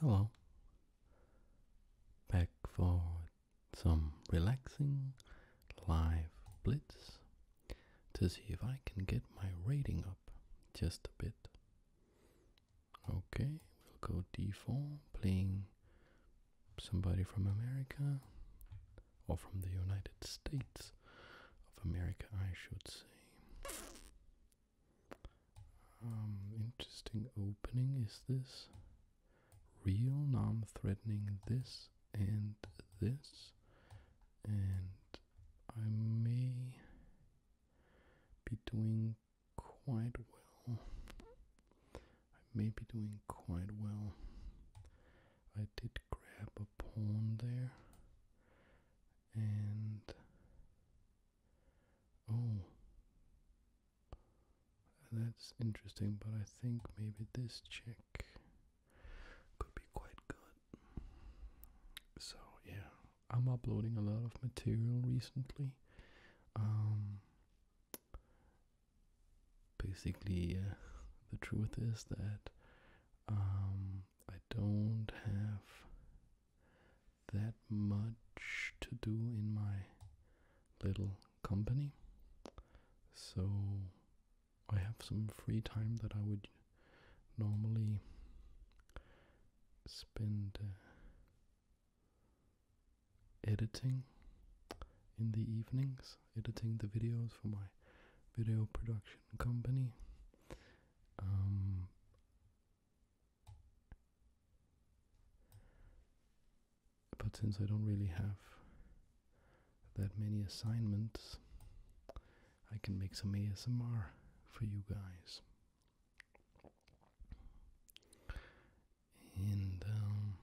Hello. Back for some relaxing live blitz to see if I can get my rating up just a bit. Okay, we'll go d4, playing somebody from America or from the United States of America, I should say. Um, interesting opening is this. Real non threatening this and this. And I may be doing quite well. I may be doing quite well. I did grab a pawn there. And Oh. That's interesting, but I think maybe this check could be quite good. So, yeah, I'm uploading a lot of material recently. Um, basically, uh, the truth is that um, I don't have that much to do in my little company. So I have some free time that I would normally spend uh, editing in the evenings, editing the videos for my video production company. Um, but since I don't really have that many assignments, I can make some ASMR for you guys. And um,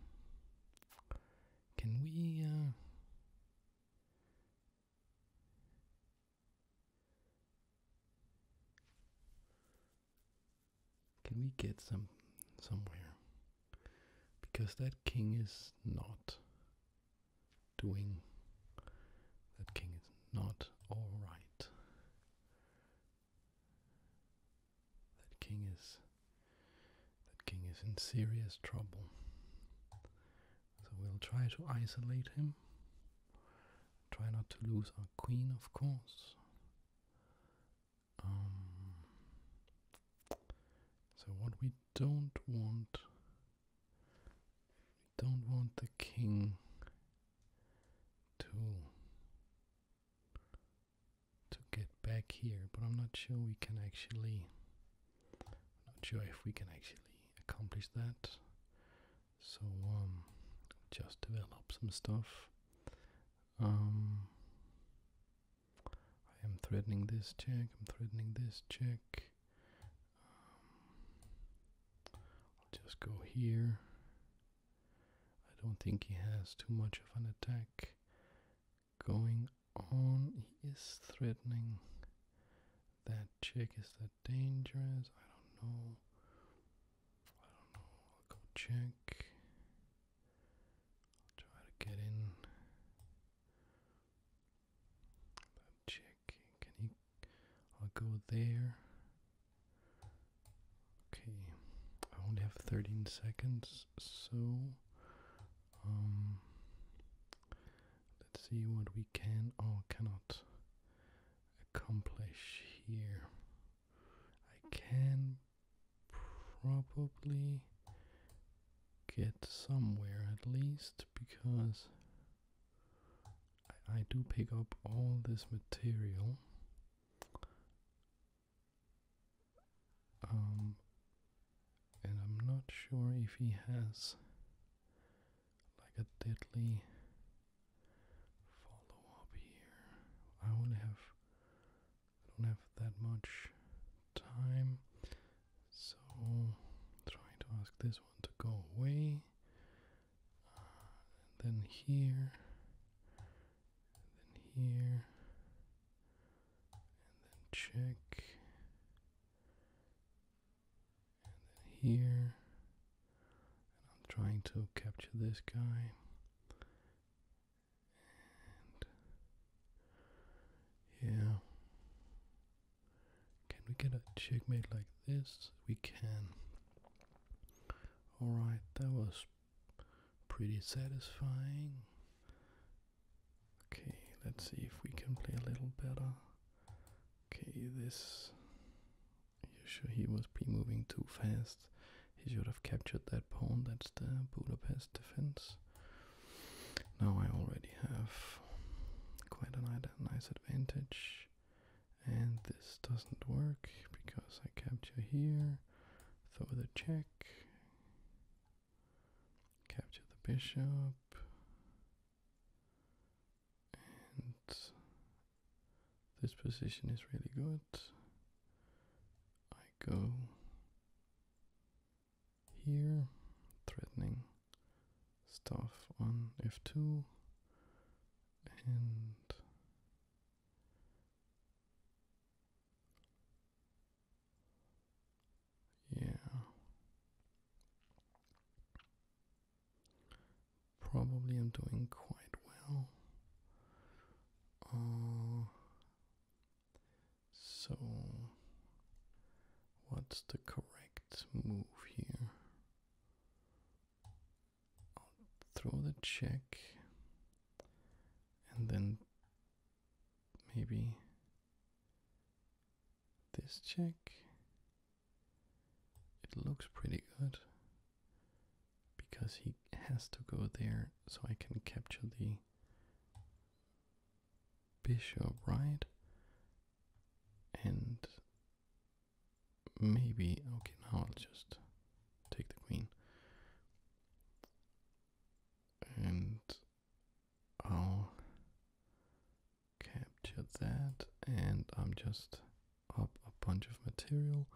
can we uh, can we get some somewhere? Because that king is not doing. That king is not alright. That king is. That king is in serious trouble. So we'll try to isolate him. Try not to lose our queen, of course. Um, so what we don't want, we don't want the king to to get back here, but I'm not sure we can actually. not sure if we can actually accomplish that. So um, just develop some stuff. Um, I am threatening this check. I'm threatening this check. Um, I'll just go here. I don't think he has too much of an attack going on. He is threatening that check. Is that dangerous? I don't know. I don't know. I'll go check. I'll try to get in. check. Can he? I'll go there. Okay. I only have 13 seconds, so um, let's see what we can or cannot accomplish here. I can probably get somewhere at least because I, do pick up all this material. Um, and I'm not sure if he has like a deadly follow up here. I only have I don't have that much time, so trying to ask this one to go away. and uh, then here, and then here, and then check and then here. I'm trying to capture this guy. And yeah. Can we get a checkmate like this? We can. Alright, that was pretty satisfying. Okay, let's see if we can play a little better. Okay, this he was moving too fast. He should have captured that pawn. That's the Budapest defense. Now I already have quite a nice advantage. And this doesn't work because I capture here, throw the check, capture the bishop, and this position is really good. I go here, threatening stuff on f2, and yeah, Probably I'm doing quite well. Uh, so, what's the correct move here? I'll throw the check and then maybe this check it looks pretty good because he has to go there so I can capture the bishop, right? And maybe, okay, now I'll just take the queen. And i capture that and I'm just up a bunch of material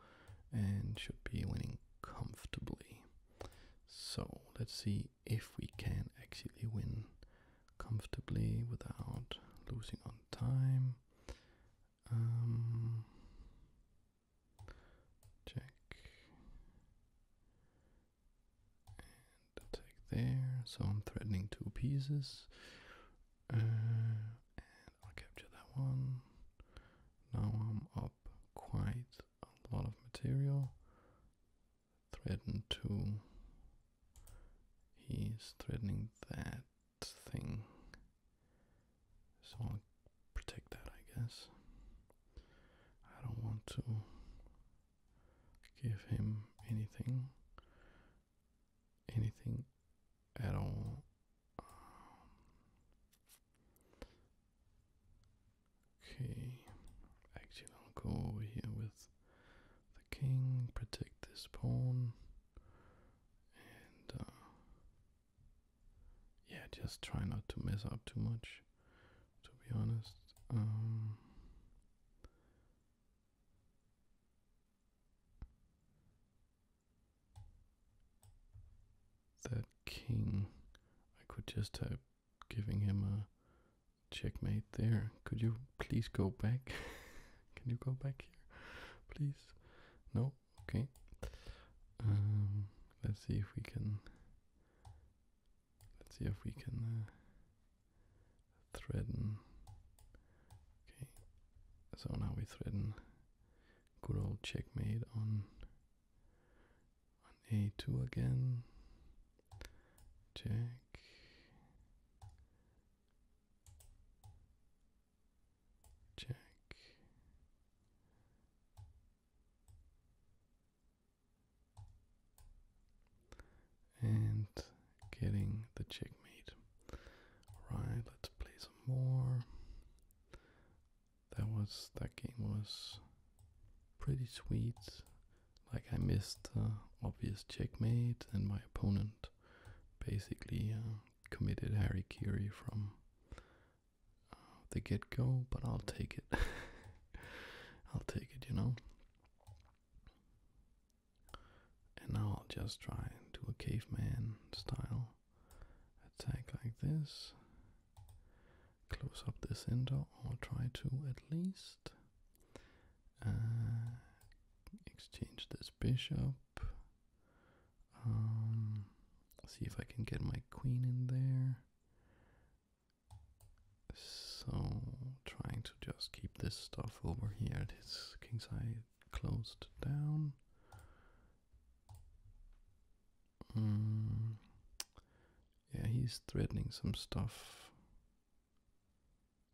and should be winning comfortably. So let's see if we can actually win comfortably without losing on time. Um, check. And attack there. So I'm threatening two pieces. Uh, I'll capture that one. Now I'm up quite a lot of material. Threaten two. He's threatening that thing. So I'll protect that, I guess. I don't want to give him anything anything at all. okay, actually, I'll go over here with the king, protect this pawn, and uh, yeah, just try not to mess up too much, to be honest. Um, that king. I could just have giving him a checkmate there. Could you please go back? Can you go back here, please? No. Okay. Um, let's see if we can. Let's see if we can uh, threaten. Okay, so now we threaten good old checkmate on on a2 again. Check. Check and getting the checkmate. Alright, let's play some more. That was that game was pretty sweet. Like I missed obvious checkmate, and my opponent basically uh, committed Harry harikiri from uh, the get-go. But I'll take it. I'll take it, you know. And now I'll just try to do a caveman style attack like this. Close up the center or try to at least. Uh, exchange this bishop. Um, see if I can get my queen in there. So trying to just keep this stuff over here at his king's closed down. Mm. Yeah, he's threatening some stuff.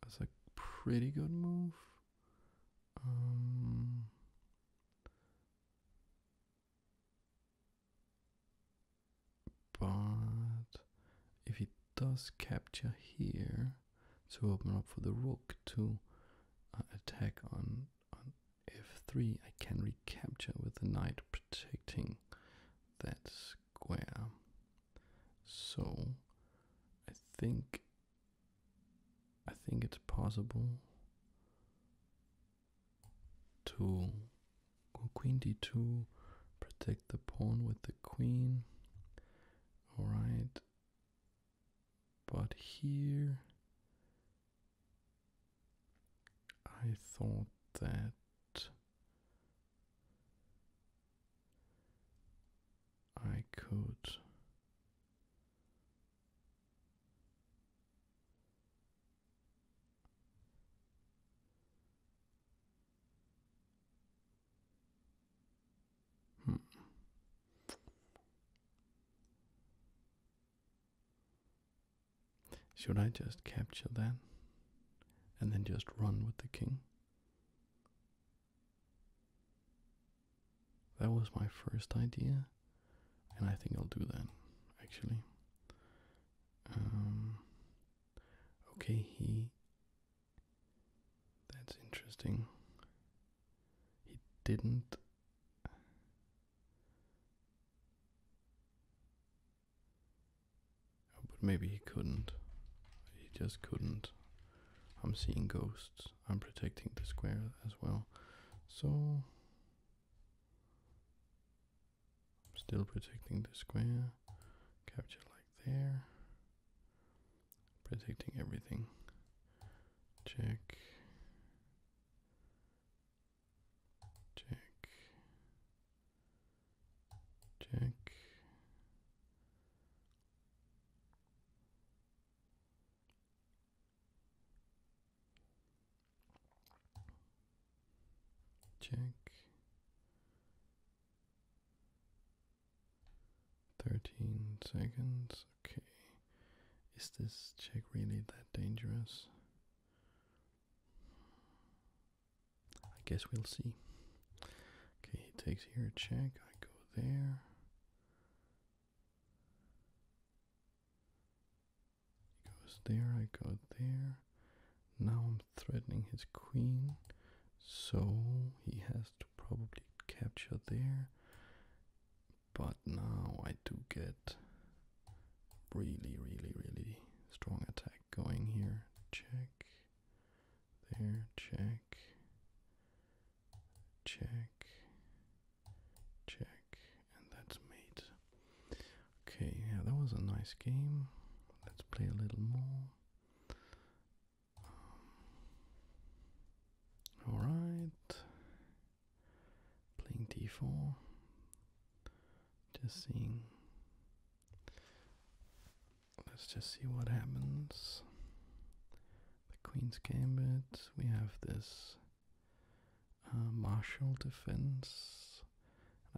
That's a pretty good move. Um, but if he does capture here, to open up for the rook to uh, attack on, on f3. I can recapture with the knight protecting that square. So I think I think it's possible to queen d2, protect the pawn with the queen. Alright, but here I thought that I could Hmm. Should I just capture that and then just run with the king? That was my first idea, and I think I'll do that actually. Um, okay, he that's interesting. He didn't. Oh, but maybe he couldn't. He just couldn't. I'm seeing ghosts. I'm protecting the square as well. So. still protecting the square. Capture like there. Protecting everything. Check. Check. Check. Check. 13 seconds. Okay. Is this check really that dangerous? I guess we'll see. Okay, he takes here a check. I go there. He goes there. I go there. Now I'm threatening his queen. So he has to probably capture there. But now I do get really, really, really strong attack going here. Check. There, check. Check. Check. And that's mate. Okay, yeah, that was a nice game. Let's play a little more. Alright. Playing d4. Just seeing. Let's just see what happens. The Queen's Gambit. We have this uh, martial defense.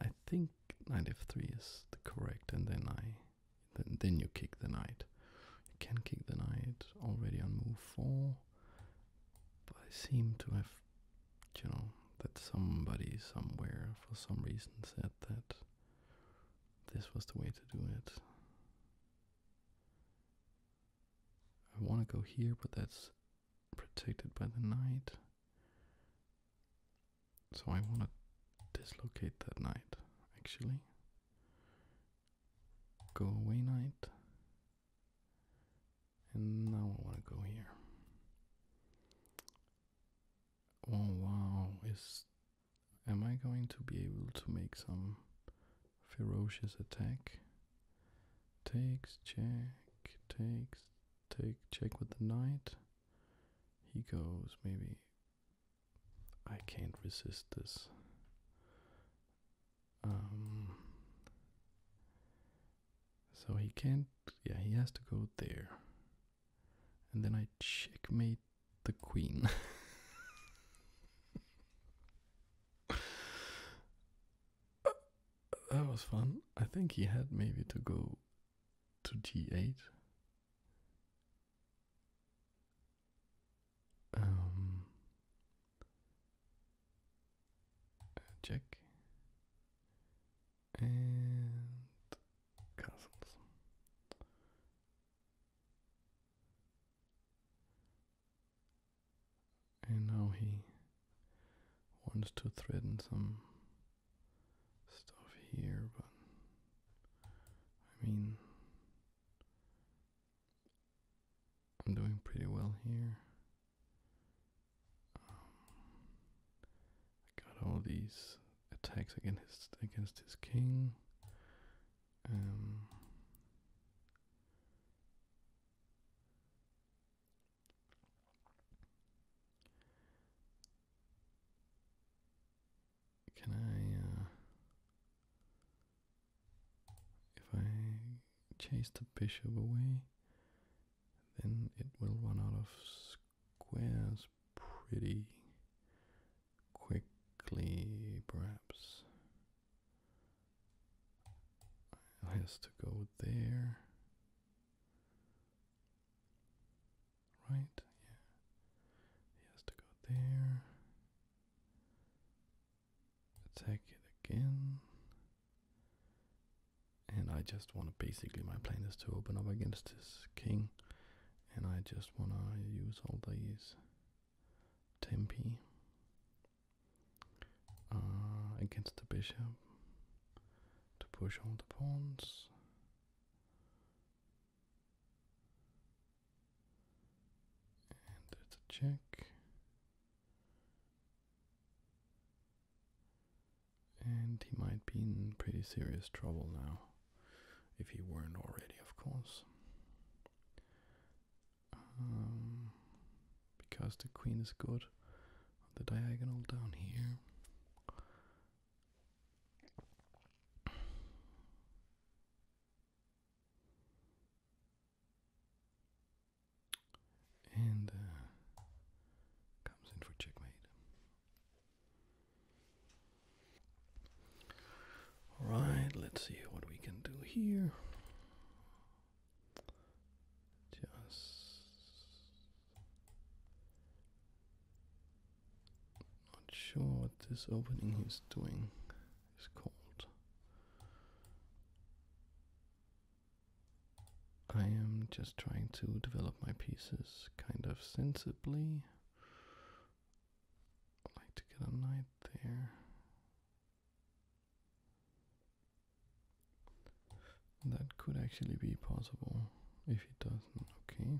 I think knight f3 is the correct, and then I then, you kick the knight. You can kick the knight already on move 4, but I seem to have, you know, that somebody somewhere for some reason said that this was the way to do it. I want to go here, but that's protected by the knight. So I want to dislocate that knight, actually go away knight. And now I want to go here. Oh wow, is am I going to be able to make some ferocious attack? Takes check, takes take check with the knight. He goes maybe I can't resist this. Um, so he can't. Yeah, he has to go there. And then I checkmate the queen. that was fun. I think he had maybe to go to g8. Um, check and castles. And now he wants to threaten some stuff here, but I mean, I'm doing pretty well here. Um, I got all these attacks against against his king. Um, can I, uh, if I chase the bishop away, then it will run out of squares pretty quickly, perhaps. It has to go there. Right? Yeah. it has to go there. Take it again. And I just want to basically my plan is to open up against this king. And I just want to use all these tempi uh, against the bishop to push all the pawns. And that's a check. And he might be in pretty serious trouble now, if he weren't already, of course. Um, because the queen is good on the diagonal down here. And uh, comes in for checkmate. Alright, let's see what we can do here. Just not sure what this opening he's doing is called. I am just trying to develop my pieces kind of sensibly. like to get a knight there. That could actually be possible if it doesn't. Okay.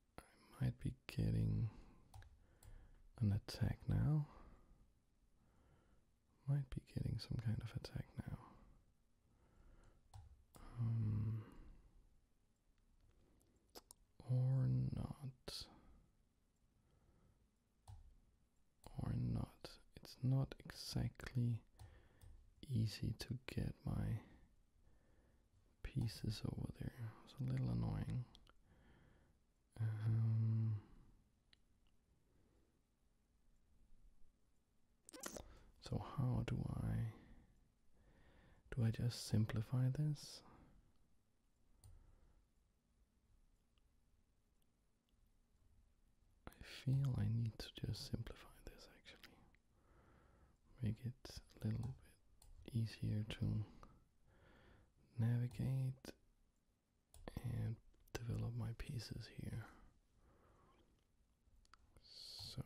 I might be getting an attack now. Might be getting some kind of attack now. Um, or not. Or not. It's not exactly easy to get my pieces over there. It's a little annoying. Um, so how do I do I just simplify this? I feel I need to just simplify this actually. Make it a little bit easier to navigate and develop my pieces here. So,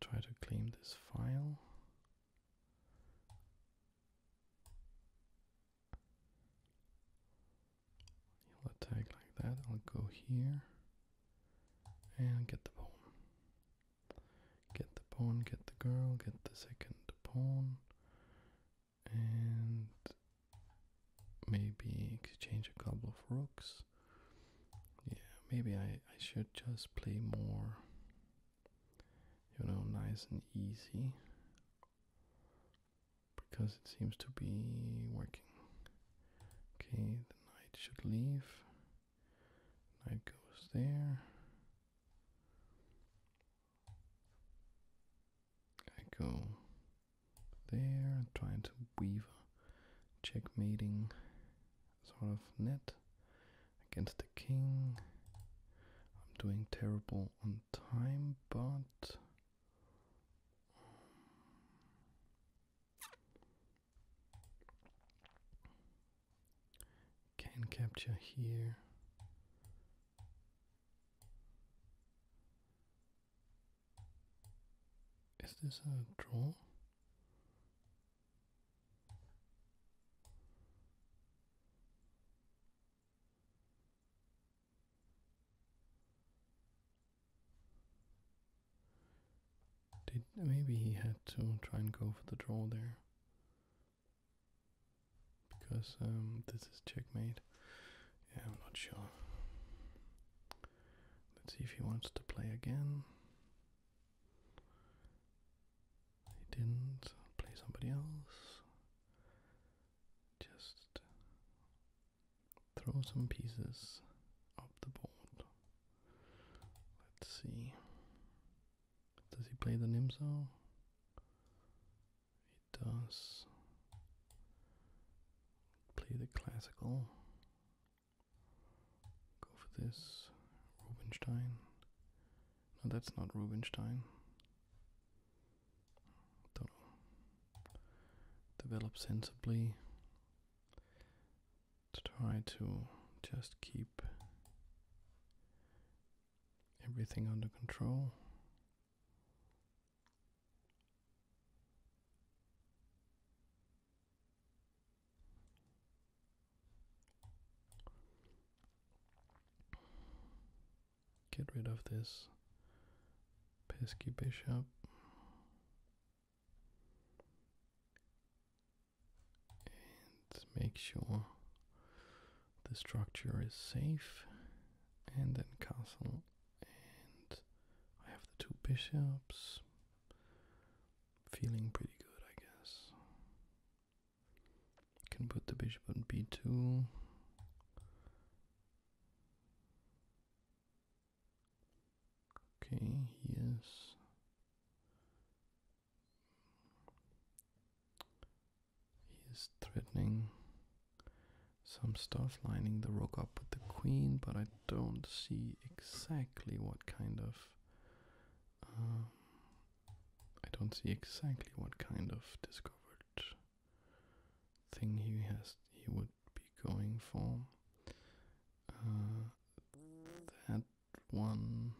try to claim this file. He'll attack like that. I'll go here and get the pawn. Get the pawn, get the girl, get the second pawn, and maybe exchange a couple of rooks. Yeah, maybe I, I should just play more, you know, nice and easy because it seems to be working. Okay, the knight should leave. Knight goes there. I go there, trying to weave a checkmating sort of net against the king. I'm doing terrible on time, but. Um, can capture here is this a draw did maybe he had to try and go for the draw there because um, this is checkmate. Yeah, I'm not sure. Let's see if he wants to play again. He didn't play somebody else. Just throw some pieces up the board. Let's see. Does he play the Nimzo? He does. Play the classical. Go for this. Rubinstein. No, that's not Rubinstein. Develop sensibly. To try to just keep everything under control. Get rid of this pesky bishop make sure the structure is safe and then castle and I have the two bishops feeling pretty good I guess can put the bishop on b2 okay yes. He is threatening some stuff, lining the rook up with the queen, but I don't see exactly what kind of. Um, I don't see exactly what kind of discovered thing he has. He would be going for. Uh, that one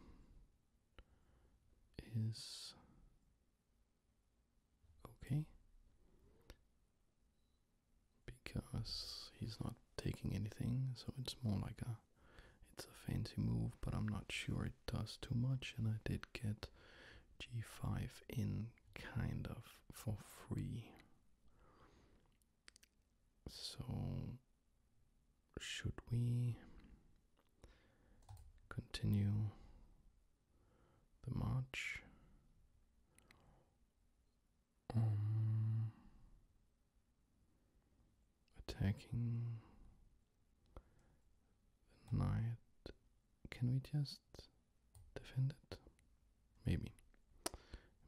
is okay because he's not taking anything, so it's more like a it's a fancy move, but I'm not sure it does too much, and I did get g5 in kind of for free. So should we continue the march? Um, attacking the knight. Can we just defend it? Maybe.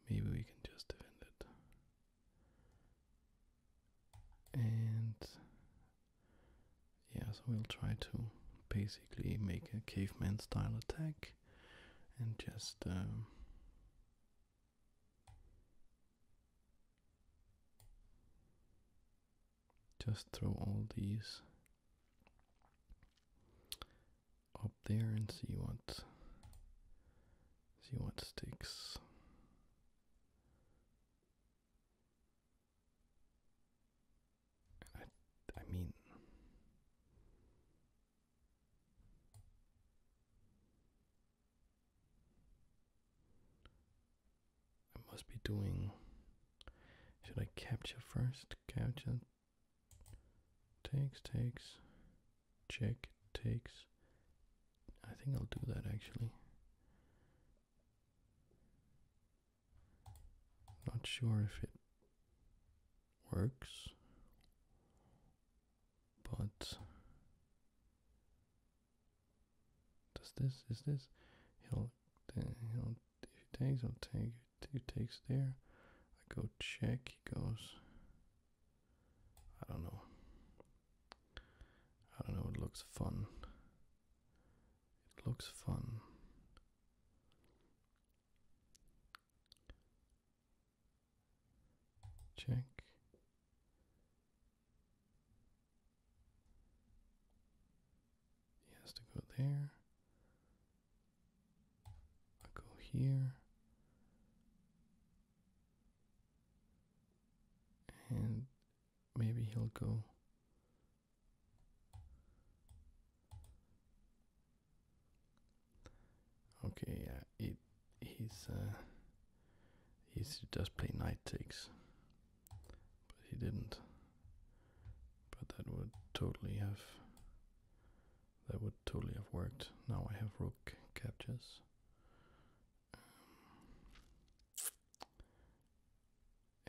Maybe we can just defend it and yeah, so we'll try to basically make a caveman style attack and just um, just throw all these up there and see what see what sticks I mean, I must be doing. Should I capture first? Capture takes, takes, check, takes, I think I'll do that actually. Not sure if it works, but does this is this? He'll uh, he'll if he takes, I'll take he takes there. I go check. He goes. I don't know. I don't know, it looks fun. It looks fun. Check. He has to go there. I go here and maybe he'll go okay yeah it he's uh, he's just play knight takes but he didn't but that would totally have that would totally have worked now i have rook captures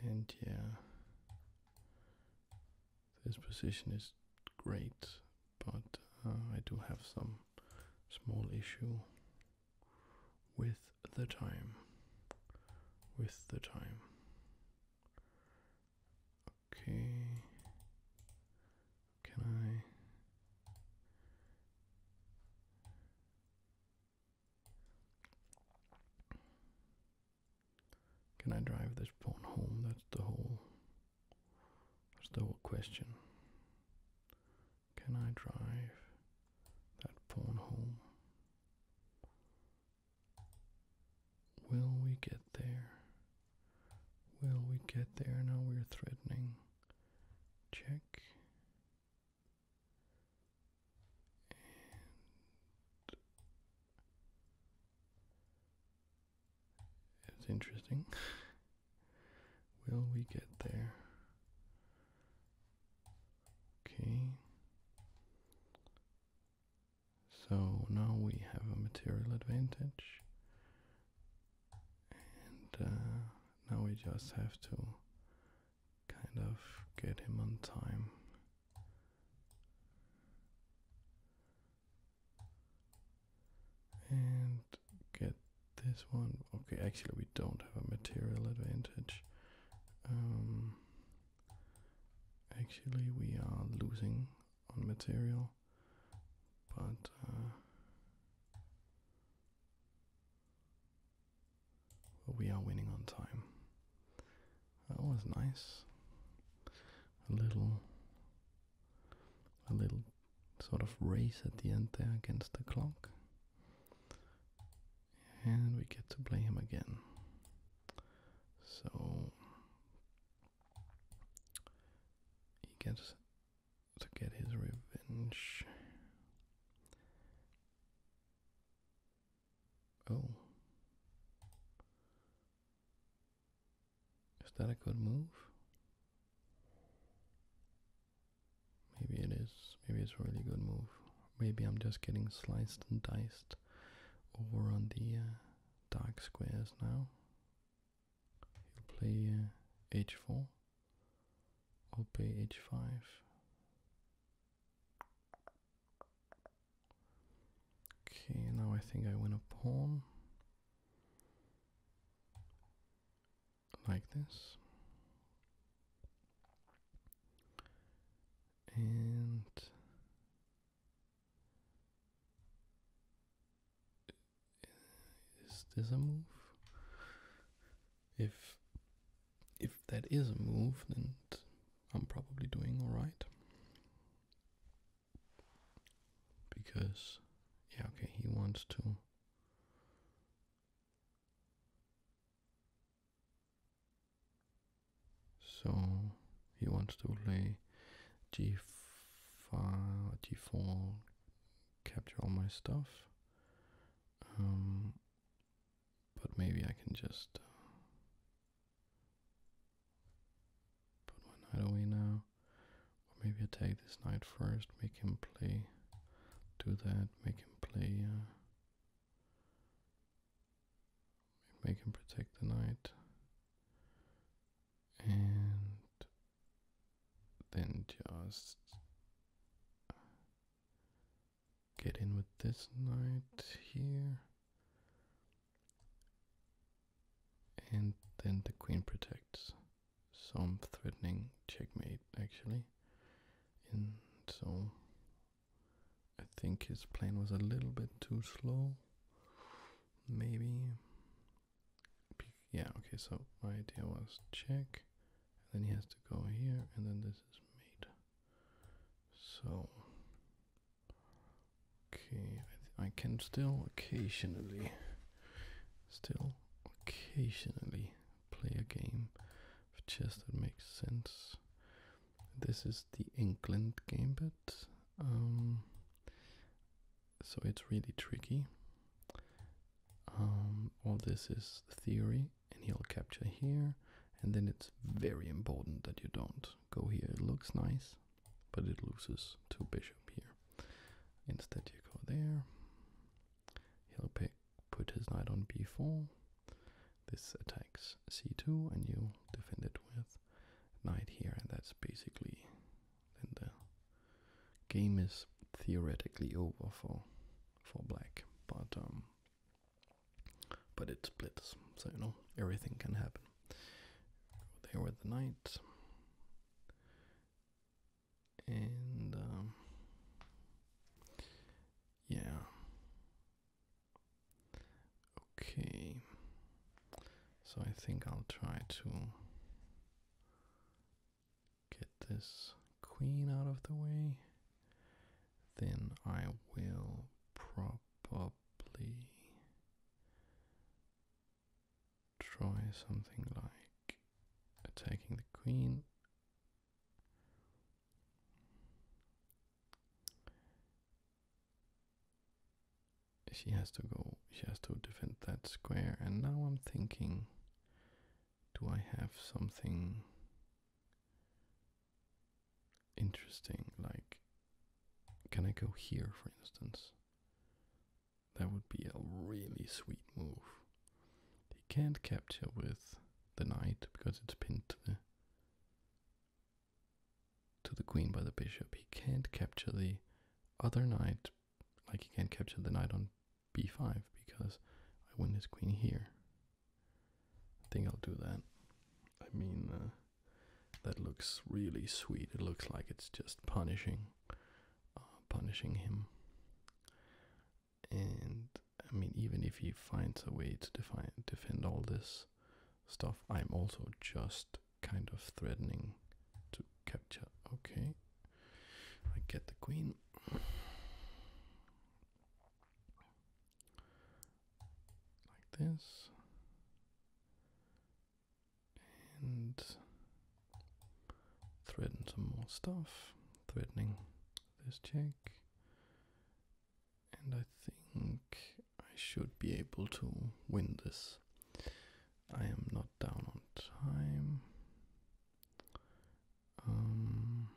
um, and yeah, this position is great, but uh, I do have some small issue with the time. With the time. Okay. Can I? Can I drive this phone home? That's the whole that's the whole question. Can I drive that phone home? Will we get there? Will we get there? Now we're threatening. Check. And it's interesting. Will we get there? Okay. So now we have a material advantage and uh, now we just have to kind of get him on time. And get this one. Okay, actually, we don't have a material advantage. Um, actually, we are losing on material, but uh, but we are winning on time. That was nice. A little, a little sort of race at the end there against the clock. And we get to play him again. So he gets to get his revenge. Oh. Is that a good move? Maybe it is. Maybe it's a really good move. Maybe I'm just getting sliced and diced over on the uh, dark squares now. He'll play h4. Uh, obey h5 okay now i think i win a pawn like this and is this a move if if that is a move, then I'm probably doing all right. Because, yeah, okay, he wants to. So he wants to play g5, g4, capture all my stuff. Um, but maybe I can just uh, put my knight away now. Or maybe I take this knight first, make him play. Do that, make him play. Uh, make him protect the knight. And then just Get in with this knight here. And then the queen protects. some threatening checkmate actually. And so I think his plan was a little bit too slow. Maybe. Yeah, okay, so my idea was check then he has to go here, and then this is made. So, okay, I, can still occasionally, still occasionally play a game of chess that makes sense. This is the England Gambit, um, so it's really tricky all um, this is theory and he'll capture here and then it's very important that you don't go here it looks nice but it loses to bishop here instead you go there he'll put his knight on b4 this attacks c2 and you defend it with knight here and that's basically the game is theoretically over for for black, but um, but it splits, so you know everything can happen. There with the knight, and um, yeah, okay. So I think I'll try to get this queen out of the way, then I will probably try something like attacking the queen. She has to go, she has to defend that square, and now I'm thinking do I have something interesting? Like, can I go here, for instance? That would be a really sweet move. He can't capture with the knight because it's pinned to the to the queen by the bishop. He can't capture the other knight, like he can't capture the knight on b5 because I win this queen here. I think I'll do that. I mean, uh, that looks really sweet. It looks like it's just punishing, uh, punishing him. And I mean, even if he finds a way to define, defend all this stuff, I'm also just kind of threatening to capture. Okay, I get the queen. Like this. And threaten some more stuff. Threatening this check. And I think I should be able to win this. I am not down on time. Um,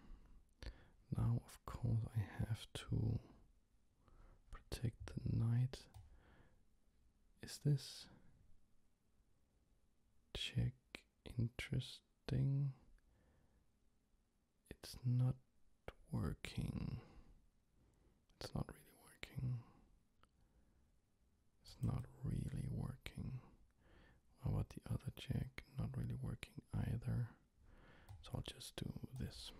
now, of course, I have to protect the knight. Is this check interesting? It's not working. It's not really working. It's not really working. What about the other check? Not really working either. So I'll just do this.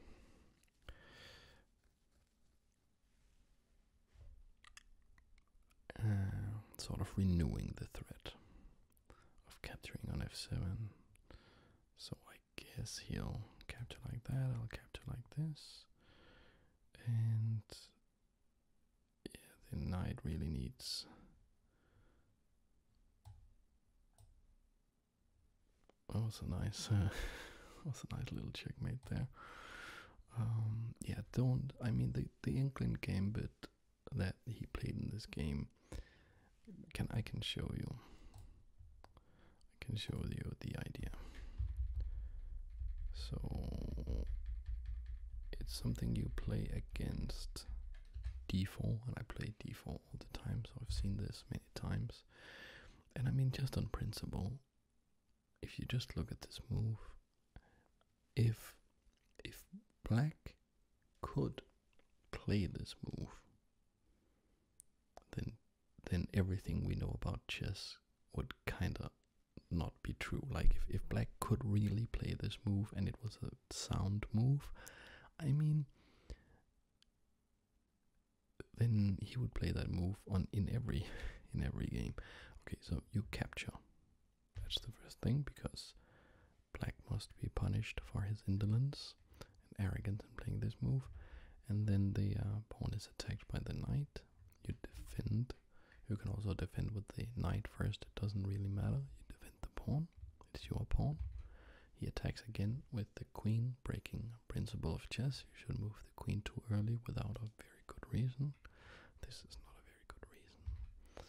Uh, sort of renewing the threat of capturing on f7. So I guess he'll capture like that, I'll capture like this. And yeah, the knight really needs oh, that was a nice uh, was a nice little checkmate there. Um, yeah, don't I mean the the inkling gambit that he played in this game can I can show you I can show you the idea. So it's something you play against d4 and I play d4 all the time so I've seen this many times and I mean just on principle if you just look at this move if if black could play this move then then everything we know about chess would kind of not be true. Like if, if black could really play this move and it was a sound move, I mean then he would play that move on in every in every game. Okay, so you capture. That's the first thing because black must be punished for his indolence and arrogance in playing this move. And then the uh, pawn is attacked by the knight. You defend you can also defend with the knight first, it doesn't really matter. You defend the pawn, it's your pawn. He attacks again with the queen, breaking principle of chess. You should move the queen too early without a very good reason. This is not a very good reason.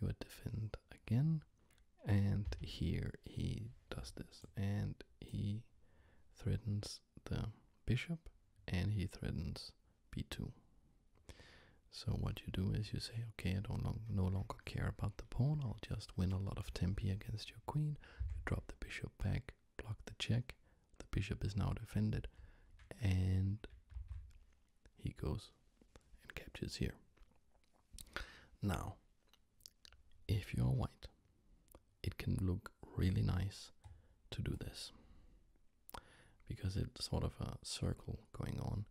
You would defend again, and here he does this, and he threatens the bishop, and he threatens b2. So what you do is you say, okay, I don't no longer care about the pawn. I'll just win a lot of tempi against your queen. You drop the bishop back, block the check. The bishop is now defended, and he goes and captures here. Now, if you're white, it can look really nice to do this because it's sort of a circle going on.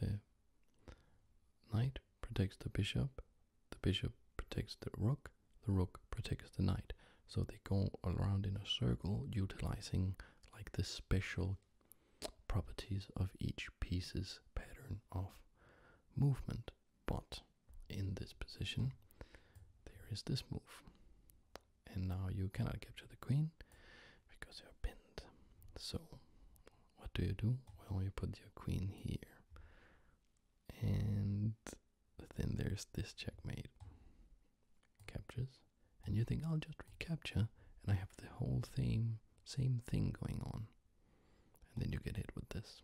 The knight protects the bishop, the bishop protects the rook, the rook protects the knight. So they go around in a circle utilizing like the special properties of each piece's pattern of movement. But in this position, there is this move and now you cannot capture the queen because you're pinned. So what do you do? Well, you put your queen here. And then there's this checkmate. Captures. And you think, I'll just recapture, and I have the whole thing, same thing going on. And then you get hit with this.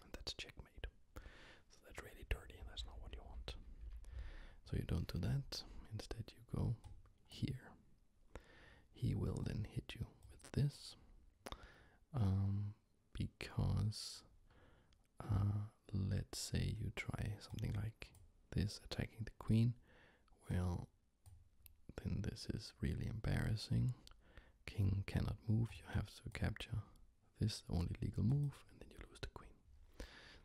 And that's checkmate. So that's really dirty, and that's not what you want. So you don't do that. Instead you go here. He will then hit you with this um, because uh, let's say you try something like this attacking the queen. Well, then this is really embarrassing. King cannot move, you have to capture this only legal move, and then you lose the queen.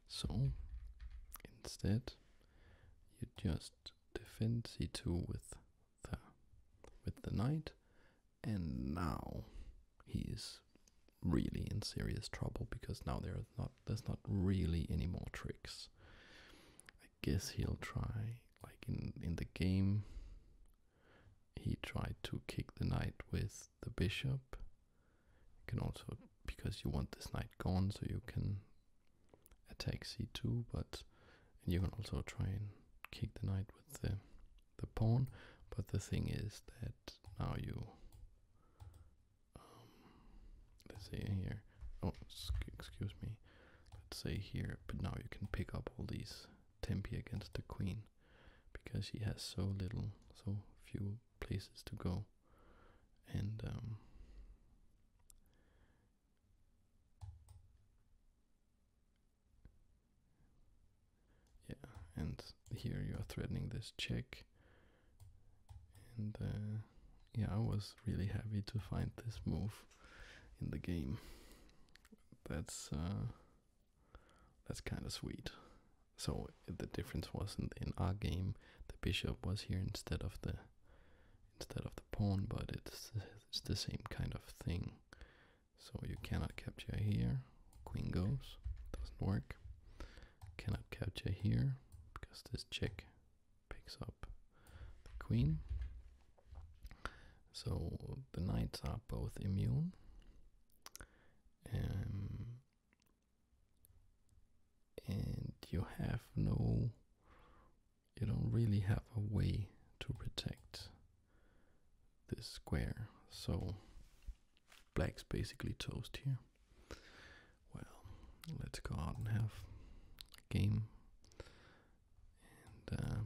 So instead, you just defend c2 with the with the knight, and now he is really in serious trouble because now there's not there's not really any more tricks. I guess he'll try like in in the game. He tried to kick the knight with the bishop, you can also, because you want this knight gone, so you can attack c2, but you can also try and kick the knight with the, the pawn. But the thing is that now you, um, let's say here, oh, excuse me, let's say here, but now you can pick up all these tempi against the queen because she has so little, so few places to go, and um, yeah, and here you are threatening this check, and uh, yeah, I was really happy to find this move in the game. That's uh, that's kind of sweet. So the difference was in, in our game, the bishop was here instead of the instead of the pawn, but it's it's the same kind of thing. So you cannot capture here. Queen goes, doesn't work. Cannot capture here because this check picks up the queen. So the knights are both immune. Um, and you have no you don't really have a way to protect this square so black's basically toast here well let's go out and have a game and uh,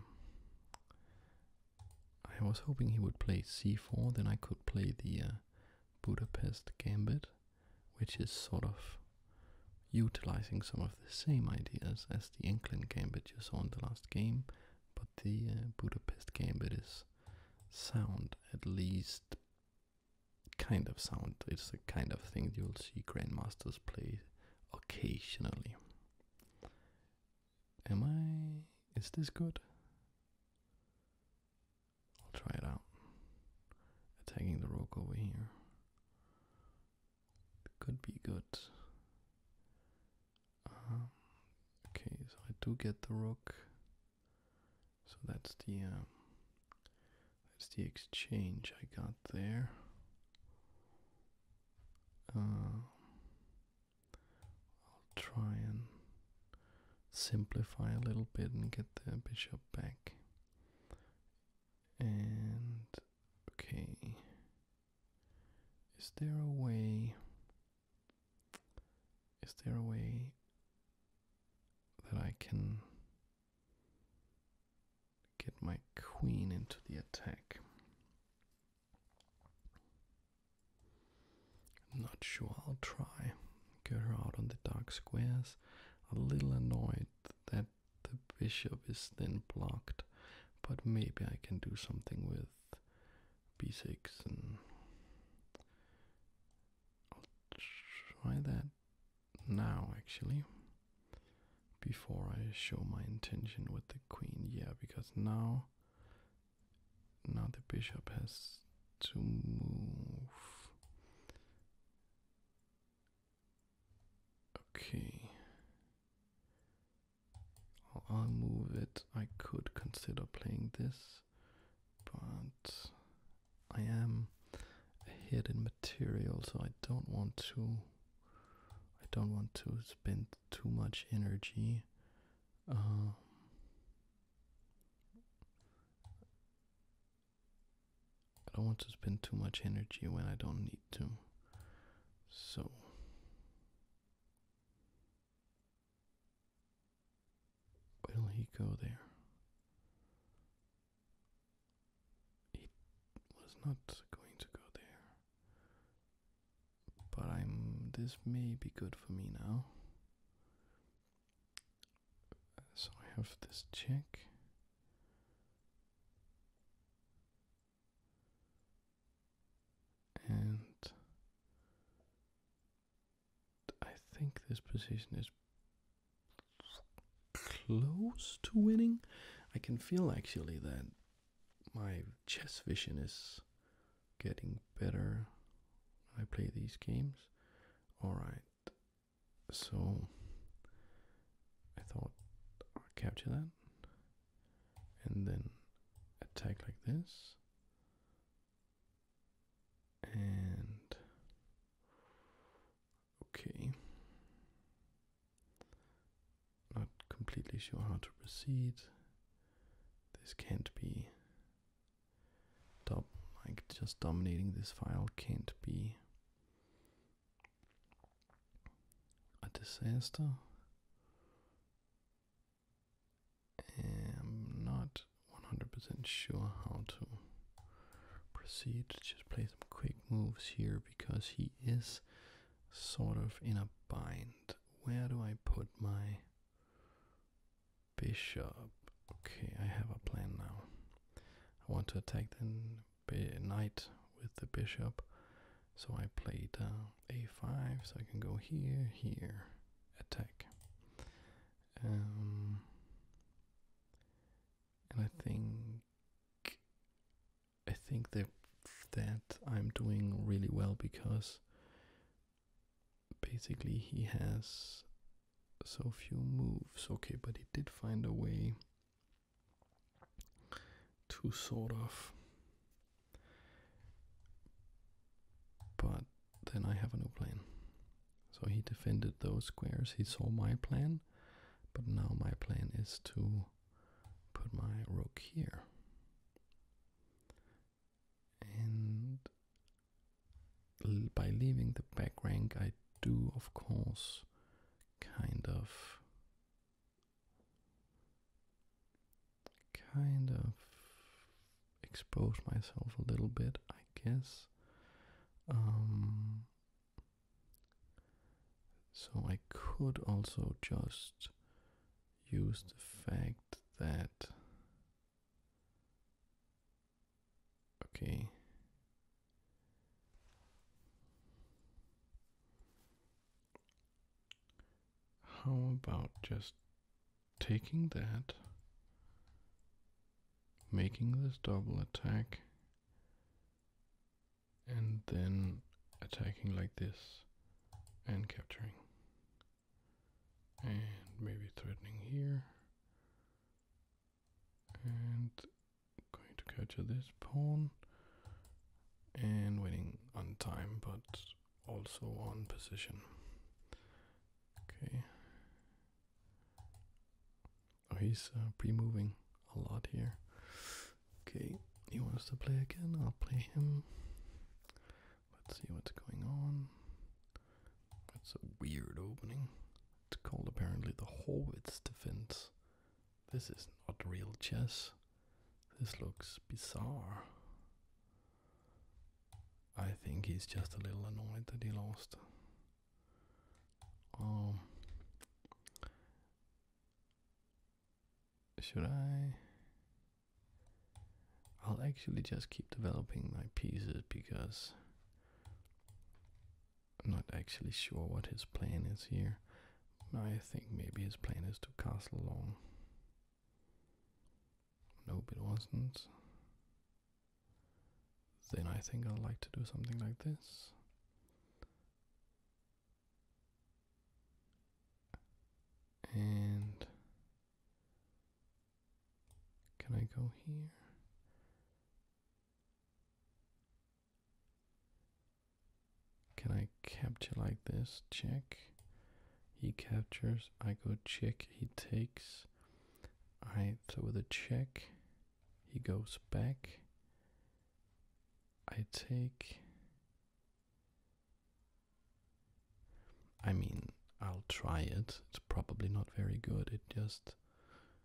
I was hoping he would play c4 then I could play the uh, Budapest gambit which is sort of utilizing some of the same ideas as the game that you saw in the last game, but the uh, Budapest Gambit is sound, at least kind of sound. It's a kind of thing you'll see grandmasters play occasionally. Am I. Is this good? I'll try it out. Attacking the rook over here could be good. Um, okay, so I do get the rook. So that's the um, that's the exchange I got there. Um, I'll try and simplify a little bit and get the bishop back. And okay, is there a way? Is there a way that I can get my queen into the attack? I'm not sure, I'll try. Get her out on the dark squares a little annoyed that the bishop is then blocked, but maybe I can do something with b6 and try that now actually before I show my intention with the queen. Yeah, because now now the bishop has to move Okay. I'll move it. I could consider playing this, but I am ahead in material, so I don't want to. I don't want to spend too much energy. Um, I don't want to spend too much energy when I don't need to. So. will he go there? He was not going to go there. But I'm. This may be good for me now. So I have this check, And I think this position is close to winning. I can feel actually that my chess vision is getting better. I play these games. Alright, so I thought I'll capture that and then attack like this and okay not completely sure how to proceed this can't be Dom like just dominating this file can't be a disaster. I'm not 100% sure how to proceed. Just play some quick moves here because he is sort of in a bind. Where do I put my bishop? Okay, I have a plan now. I want to attack the knight with the bishop. So I played a5, so I can go here, here, attack. Um, and I think I think that I'm doing really well because basically he has so few moves. Okay, but he did find a way to sort of. But then I have a new plan. So he defended those squares. He saw my plan, but now my plan is to put my rook here. And by leaving the back rank, I do, of course, kind of. Kind of expose myself a little bit, I guess. Um, so I could also just use the fact that Okay. How about just taking that, making this double attack, and then attacking like this and capturing? And maybe threatening here and going to go to this pawn and winning on time but also on position. Okay. Oh, he's uh, pre-moving a lot here. Okay, he wants to play again. I'll play him. Let's see what's going on. That's a weird opening. It's called apparently the Horwitz defense. This is not real chess. This looks bizarre. I think he's just a little annoyed that he lost. Um, should I? I'll actually just keep developing my pieces because I'm not actually sure what his plan is here. I think maybe his plan is to castle long. Nope, it wasn't. Then I think I'd like to do something like this. And can I go here? Can I capture like this? Check. He captures. I go check. He takes. I throw the check. He goes back. I take. I mean, I'll try it. It's probably not very good. It just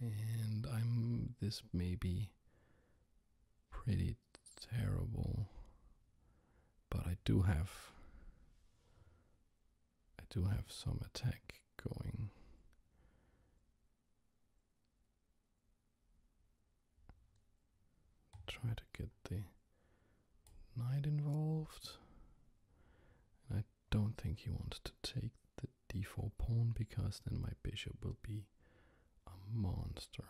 and I'm this may be pretty terrible, but I do have I do have some attack going. Try to get the knight involved. I don't think he wants to take the d4 pawn because then my bishop will be a monster.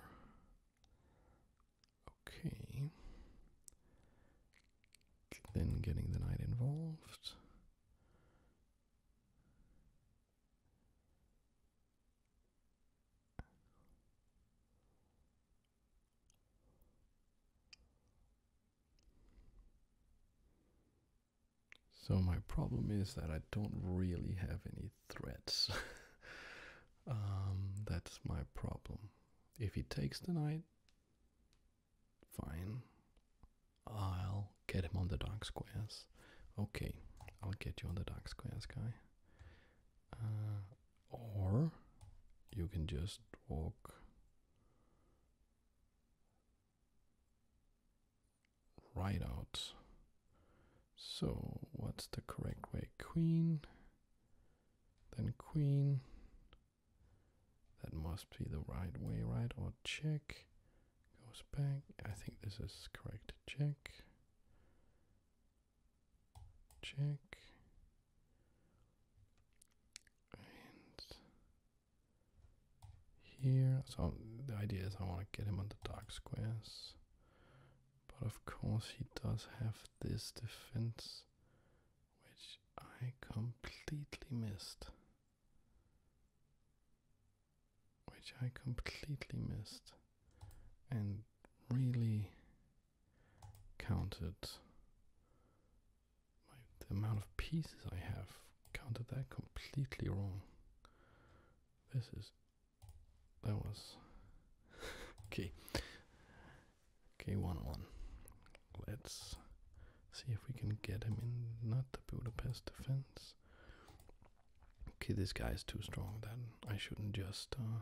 Okay. Then getting the knight involved. So my problem is that I don't really have any threats. Um, that's my problem. If he takes the knight, fine. I'll get him on the dark squares. Okay, I'll get you on the dark squares, guy. Uh, or you can just walk right out. So what's the correct way? Queen, then queen. That must be the right way, right? Or check goes back. I think this is correct. Check. Check. And here, so the idea is I want to get him on the dark squares. But of course he does have this defense, which I completely missed. Which I completely missed. And really counted the amount of pieces I have. Counted that completely wrong. This is that was okay. K one one. Let's see if we can get him in. Not the Budapest defense. Okay, this guy is too strong. Then I shouldn't just uh,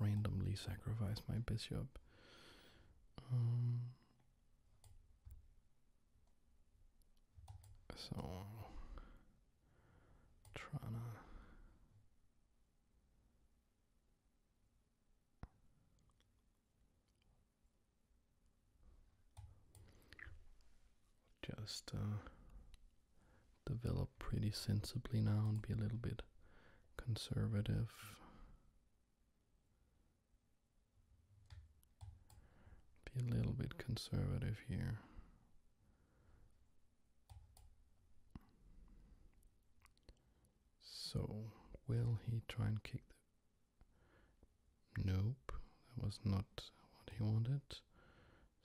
randomly sacrifice my bishop. Um, so trying to just uh, develop pretty sensibly now and be a little bit conservative be a little bit conservative here. So, will he try and kick the... Nope, that was not what he wanted.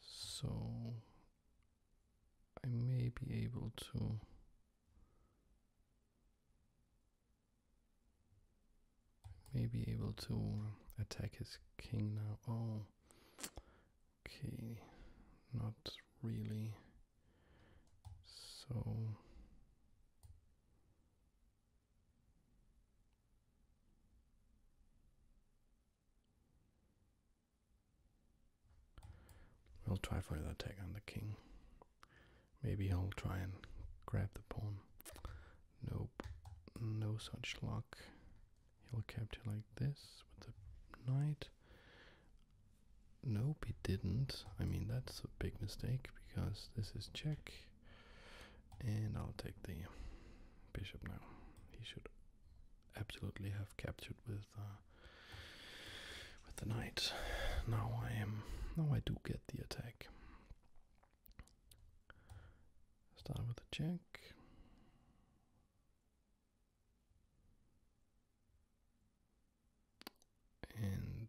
So, I may be able to I may be able to attack his king now. Oh, okay, not really. So. We'll try for the attack on the king. Maybe I'll try and grab the pawn. Nope, no such luck. He'll capture like this with the knight. Nope, he didn't. I mean, that's a big mistake because this is check. And I'll take the bishop now. He should absolutely have captured with uh, with the knight. Now I am. Now I do get the attack. Start with the check. And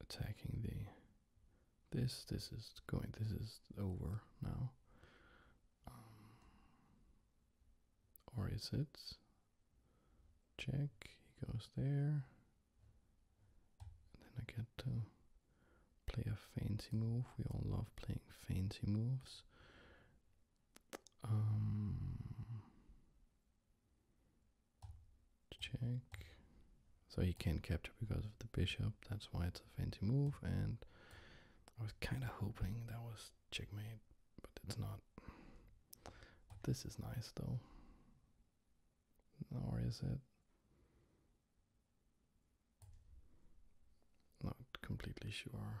attacking the this this is going this is over now. Um, or is it? Check. He goes there. And then I get to play a fancy move. We all love playing fancy moves. Um, check. So he can't capture because of the bishop. That's why it's a fancy move. And I was kind of hoping that was checkmate, but it's not. This is nice though. Or is it? Not completely sure.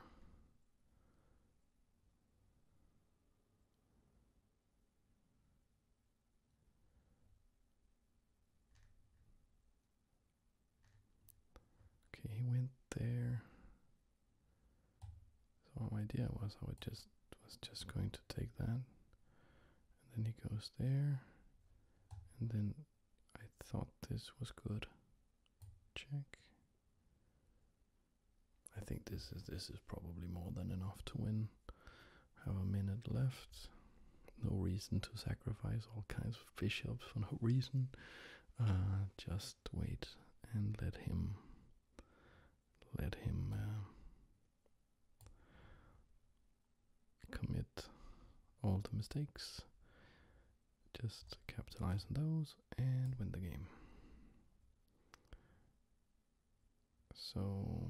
Okay, he went there. So my idea was I was just was just going to take that. And then he goes there. And then I thought this was good. Check. I think this is this is probably more than enough to win. Have a minute left. No reason to sacrifice all kinds of fish bishops for no reason. Uh, just wait and let him let him uh, commit all the mistakes just capitalize on those and win the game so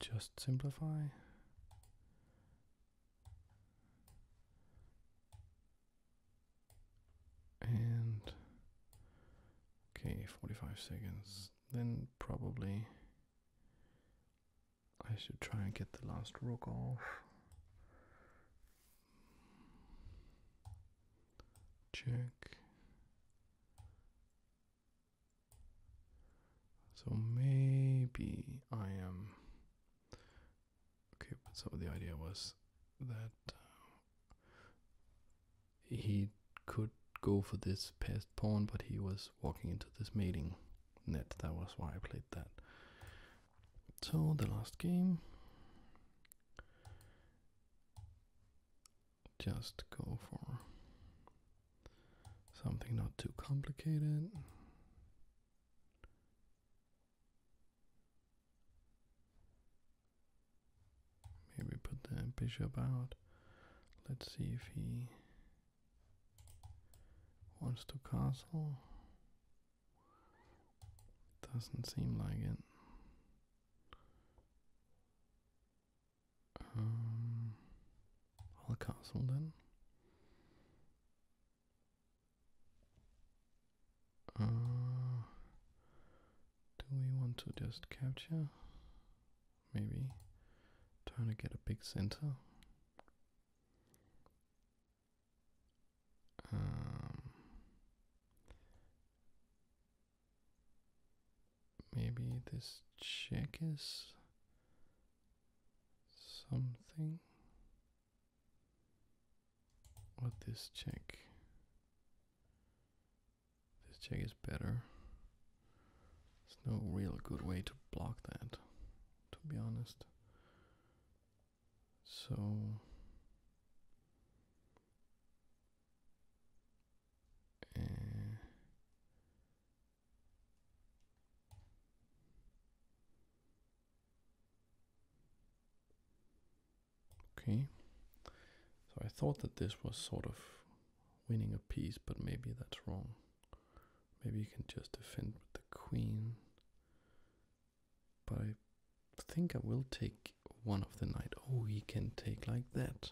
just simplify and okay, 45 seconds. Then probably I should try and get the last rook off. Check. So maybe I am Okay, so the idea was that uh, he could go for this passed pawn, but he was walking into this mating net. That was why I played that. So the last game. Just go for something not too complicated. Maybe put the bishop out. Let's see if he wants to castle. Doesn't seem like it. Um, I'll castle then. Uh, do we want to just capture? Maybe. Trying to get a big center. Um, maybe this check is something. What this check? This check is better. There's no real good way to block that, to be honest. So eh, Okay, so I thought that this was sort of winning a piece, but maybe that's wrong. Maybe you can just defend with the queen, but I think I will take one of the knight. Oh, he can take like that.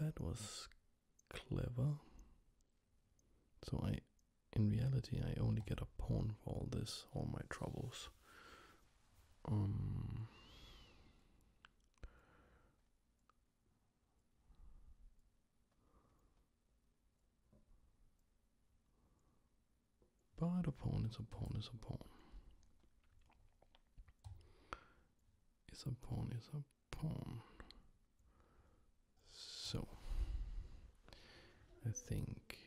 That was clever. So I, in reality, I only get a pawn for all this, all my troubles. Um. But a pawn is a pawn is a pawn. Is a pawn is a pawn. So I think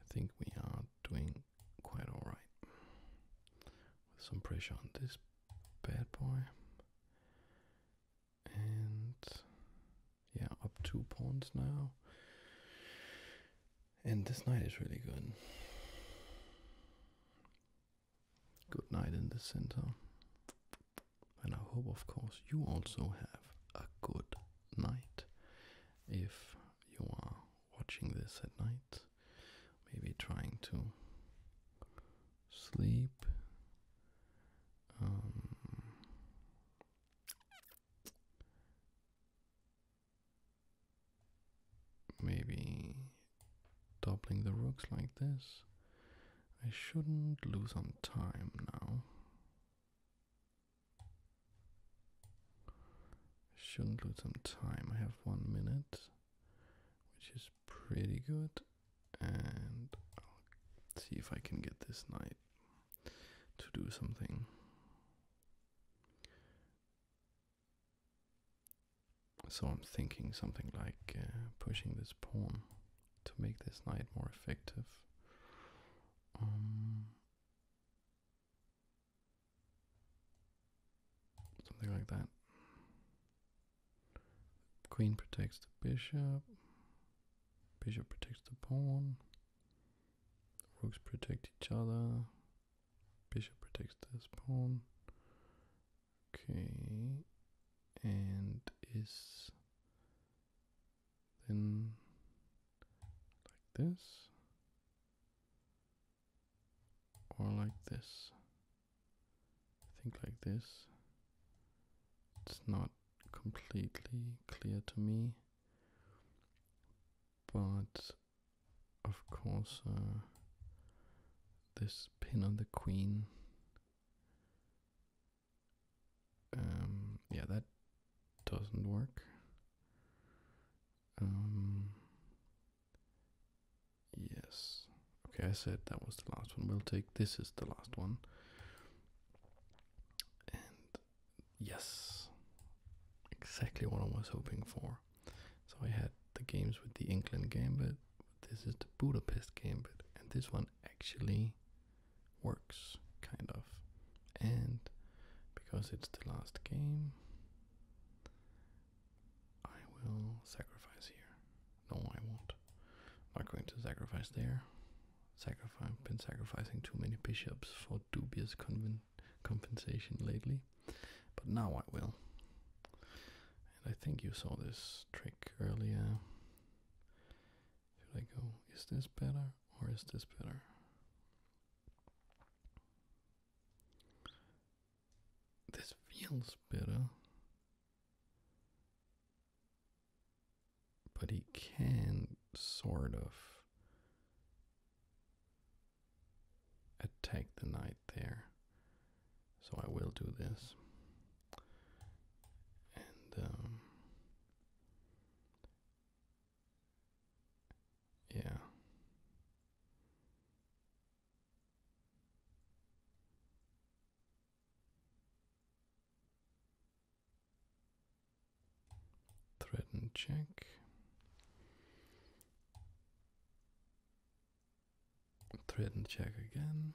I think we are doing quite all right with some pressure on this bad boy and yeah up two pawns now and this knight is really good good night in the center. And I hope, of course, you also have a good night if you are watching this at night, maybe trying to sleep. Um, maybe doubling the rooks like this I shouldn't lose some time now. Shouldn't lose some time. I have one minute, which is pretty good, and I'll see if I can get this knight to do something. So I'm thinking something like uh, pushing this pawn to make this knight more effective. Um, something like that. Queen protects the bishop. Bishop protects the pawn. Rooks protect each other. Bishop protects this pawn. Okay, and is then like this or like this? I think like this. It's not completely clear to me, but of course, uh, this pin on the queen um, yeah, that doesn't work. Um, yes. Okay, I said that was the last one. We'll take this is the last one. And yes, exactly what I was hoping for. So I had the games with the England game, but this is the Budapest Gambit, and this one actually works kind of. And because it's the last game, I will sacrifice here. No, I won't. I'm not going to sacrifice there. Sacrifice. I've been sacrificing too many bishops for dubious compensation lately, but now I will. And I think you saw this trick earlier. Should I go, is this better or is this better? This feels better. But he can sort of attack the knight there. So I will do this. And um, yeah. Threaten check thread and check again.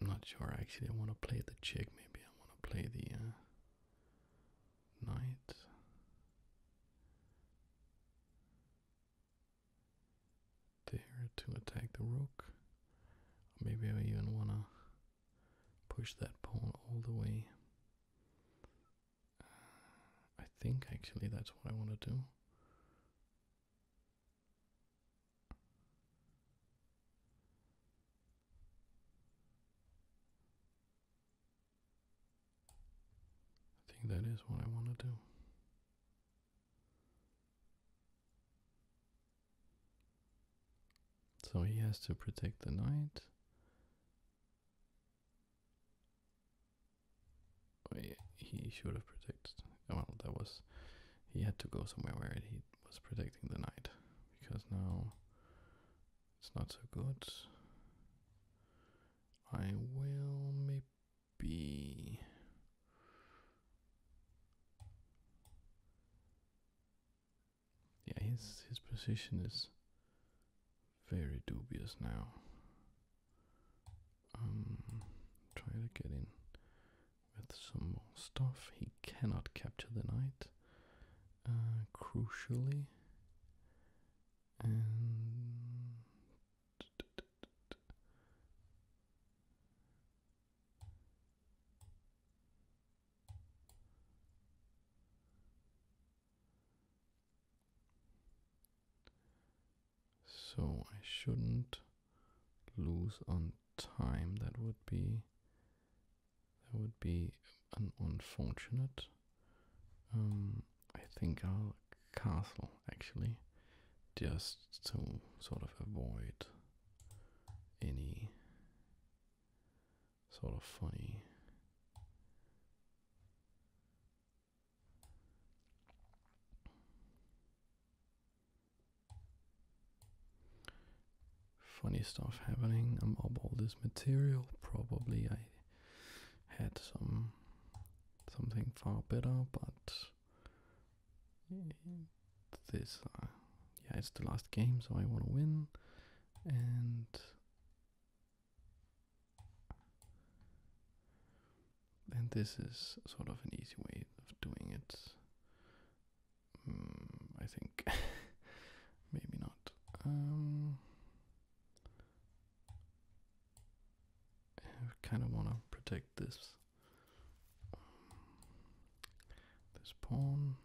I'm not sure actually. I want to play the check. Maybe I want to play the uh, knight. There to attack the rook. maybe I even want to push that pawn all the way I think actually that's what I want to do. I think that is what I want to do. So he has to protect the knight he should have protected. Well, that was he had to go somewhere where he was protecting the knight because now it's not so good. I will maybe. Yeah, his his position is very dubious now. Um, try to get in with some more stuff. He cannot capture the knight, uh, crucially. So I shouldn't lose on time. That would be that would be unfortunate. Um, I think I'll castle actually, just to sort of avoid any sort of funny Funny stuff happening I'm above all this material. Probably I had some something far better, but this uh, yeah, it's the last game, so I want to win, and and this is sort of an easy way of doing it. Hmm, I think. Maybe not. Um, I kind of want to protect this. Um, this pawn.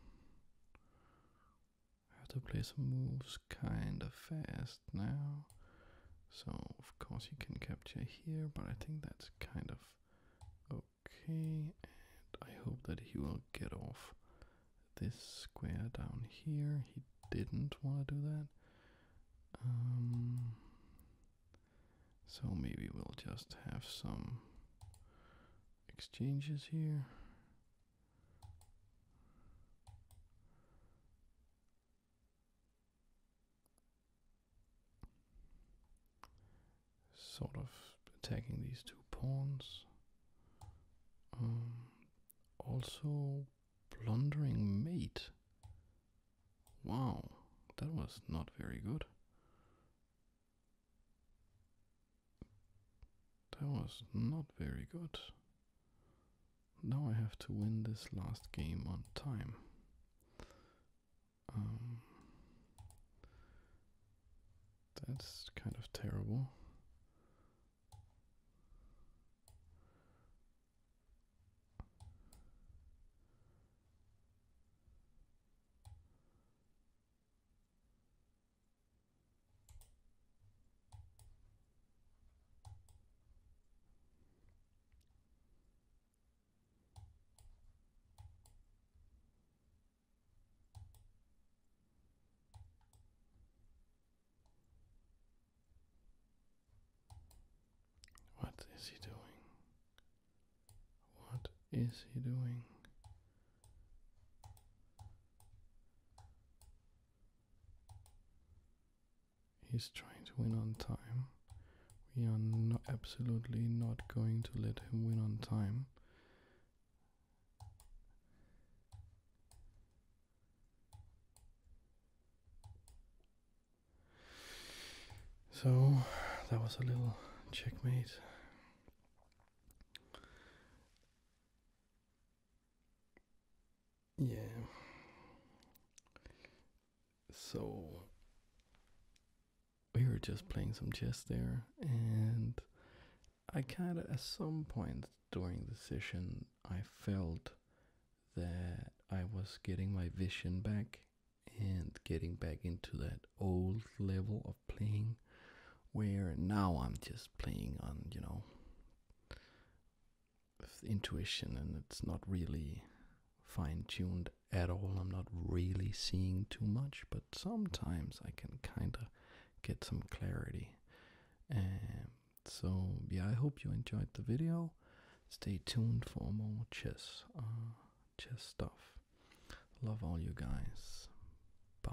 I have to play some moves kind of fast now. So, of course, he can capture here, but I think that's kind of okay. And I hope that he will get off this square down here. He didn't want to do that. Um, so maybe we'll just have some exchanges here. Sort of attacking these two pawns. Um, also, plundering mate. Wow, that was not very good. That was not very good. Now I have to win this last game on time. Um, that's kind of terrible. What is he doing? What is he doing? He's trying to win on time. We are no absolutely not going to let him win on time. So that was a little checkmate yeah. So we were just playing some chess there, and I kind of, at some point during the session, I felt that I was getting my vision back and getting back into that old level of playing where now I'm just playing on, you know, intuition and it's not really fine tuned at all. I'm not really seeing too much, but sometimes I can kind of get some clarity. Um, so, yeah, I hope you enjoyed the video. Stay tuned for more chess, uh, chess stuff. Love all you guys. Bye.